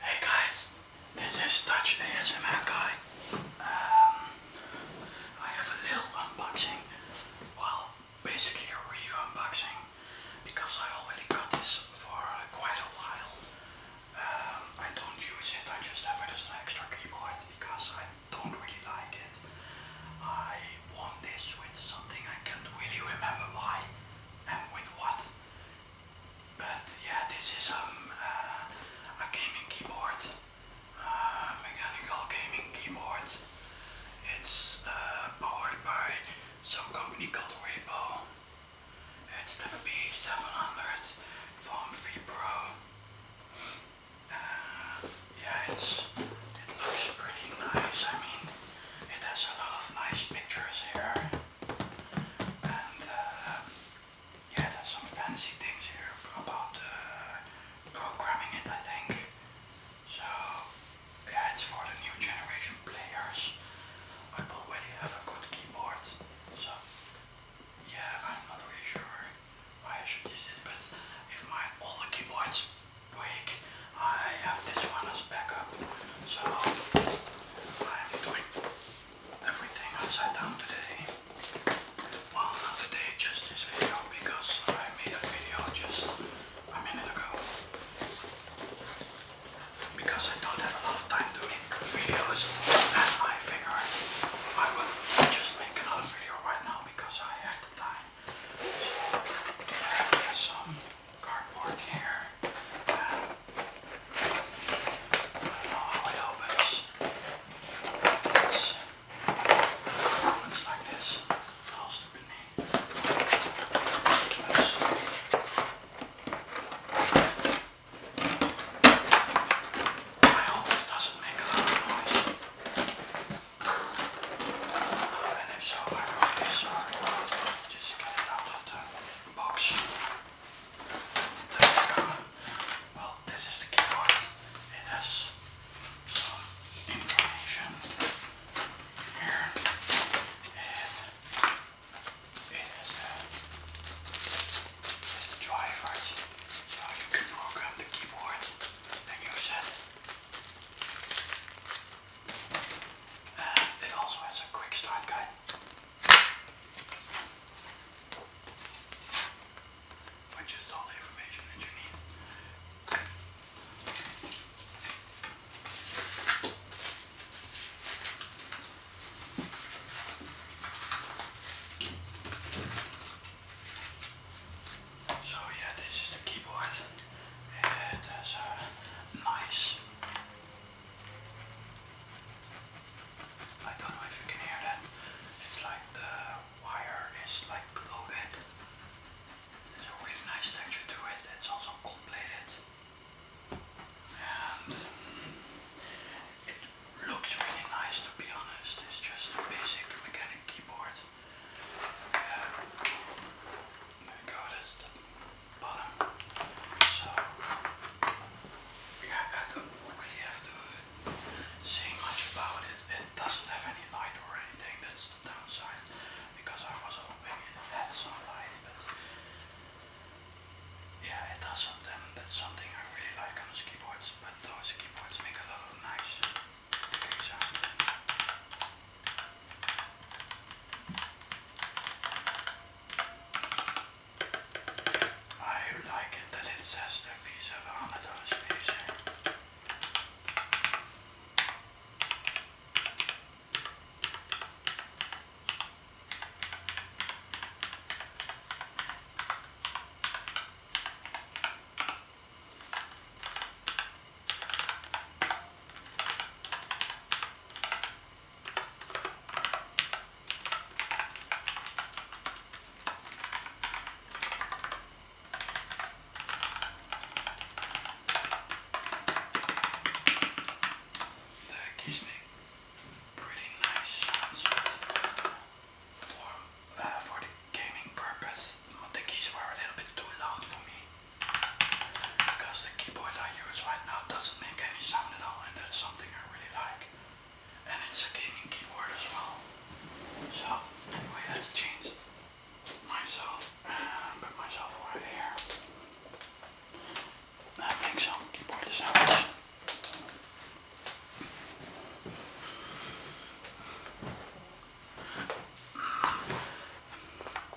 Hey guys, this is Dutch ASMR guy. Um, I have a little unboxing, well, basically a real unboxing, because I already got this for quite a while. Um, I don't use it, I just have it as an extra keyboard because I don't really like it. I want this with something I can't really remember why and with what. But yeah, this is um, uh, a gaming keyboard, uh, mechanical gaming keyboard. It's uh, powered by some company called Repo. It's the P700 from V Pro. yeah, it's, it looks pretty nice. I mean, it has a lot of nice pictures here. And uh, yeah, there's some fancy things here about uh, programming it, I think. So yeah, it's for the new generation players. I already have a good keyboard, so yeah, I'm not really sure why I should use it, but if my older keyboards break, I have this one as backup, so I'm doing everything upside down today. Well, not today, just this video, because I made a video just a minute ago. Because I don't have enough time to make videos, and I figure I will just make another video right now because I have the time. So, cardboard here. I don't know how it opens. It's, it like this. All stupid me. hope this doesn't make a lot of noise. Uh, and if so, I'm Just get it out of the box. Well, this is the keyboard. It has some information here. And it has a, the drivers. So you can program the keyboard and use it. Uh, it also has a quick start guide. Which is all the information that you need. So yeah, this is the keyboard. It has a nice I don't know if you can hear that. It's like the wire is like loaded. There's a really nice texture to it. It's also gold And it looks really nice to be honest. It's just a basic mechanical keyboard. Yeah. There bottom. So yeah, I don't really have to say much about it. It doesn't have any light or anything. That's the downside. Because I was hoping it had some light, but yeah, it doesn't. that's something I really like on keyboards. But those keyboards make a lot of nice. Sound. I like it that it says the Visa Amato station. That gives me pretty nice sounds for, uh, for the gaming purpose. The keys were a little bit too loud for me because the keyboard I use right now doesn't make any sound at all and that's something I really like. And it's a gaming keyboard as well. So anyway, let's change myself and uh, put myself right here. I make some keyboard sounds.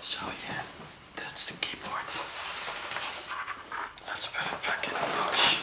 So yeah, that's the keyboard. Let's put it back in the box.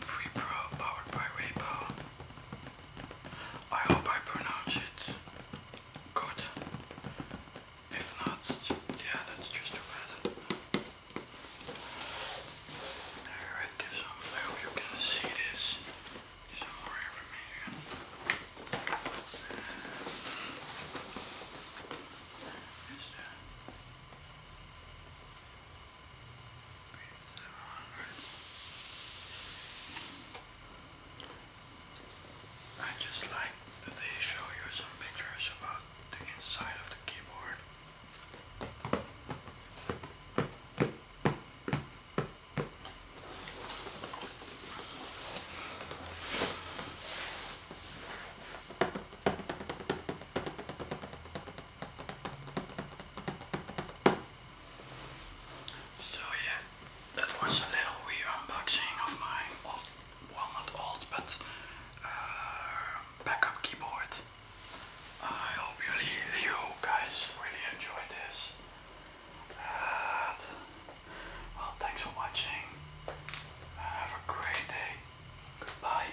Free Pro powered by Raypal. I hope I pronounce it good. If not, yeah, that's just too bad. Alright, give some, I hope you can see this. Some more information. Is there? I just like that they show you some pictures about the inside of the keyboard. So yeah, that was a little weird unboxing of my old, well not old, but uh, backup keyboard. I hope you, guys really enjoyed this. well, thanks for watching. Have a great day. Goodbye.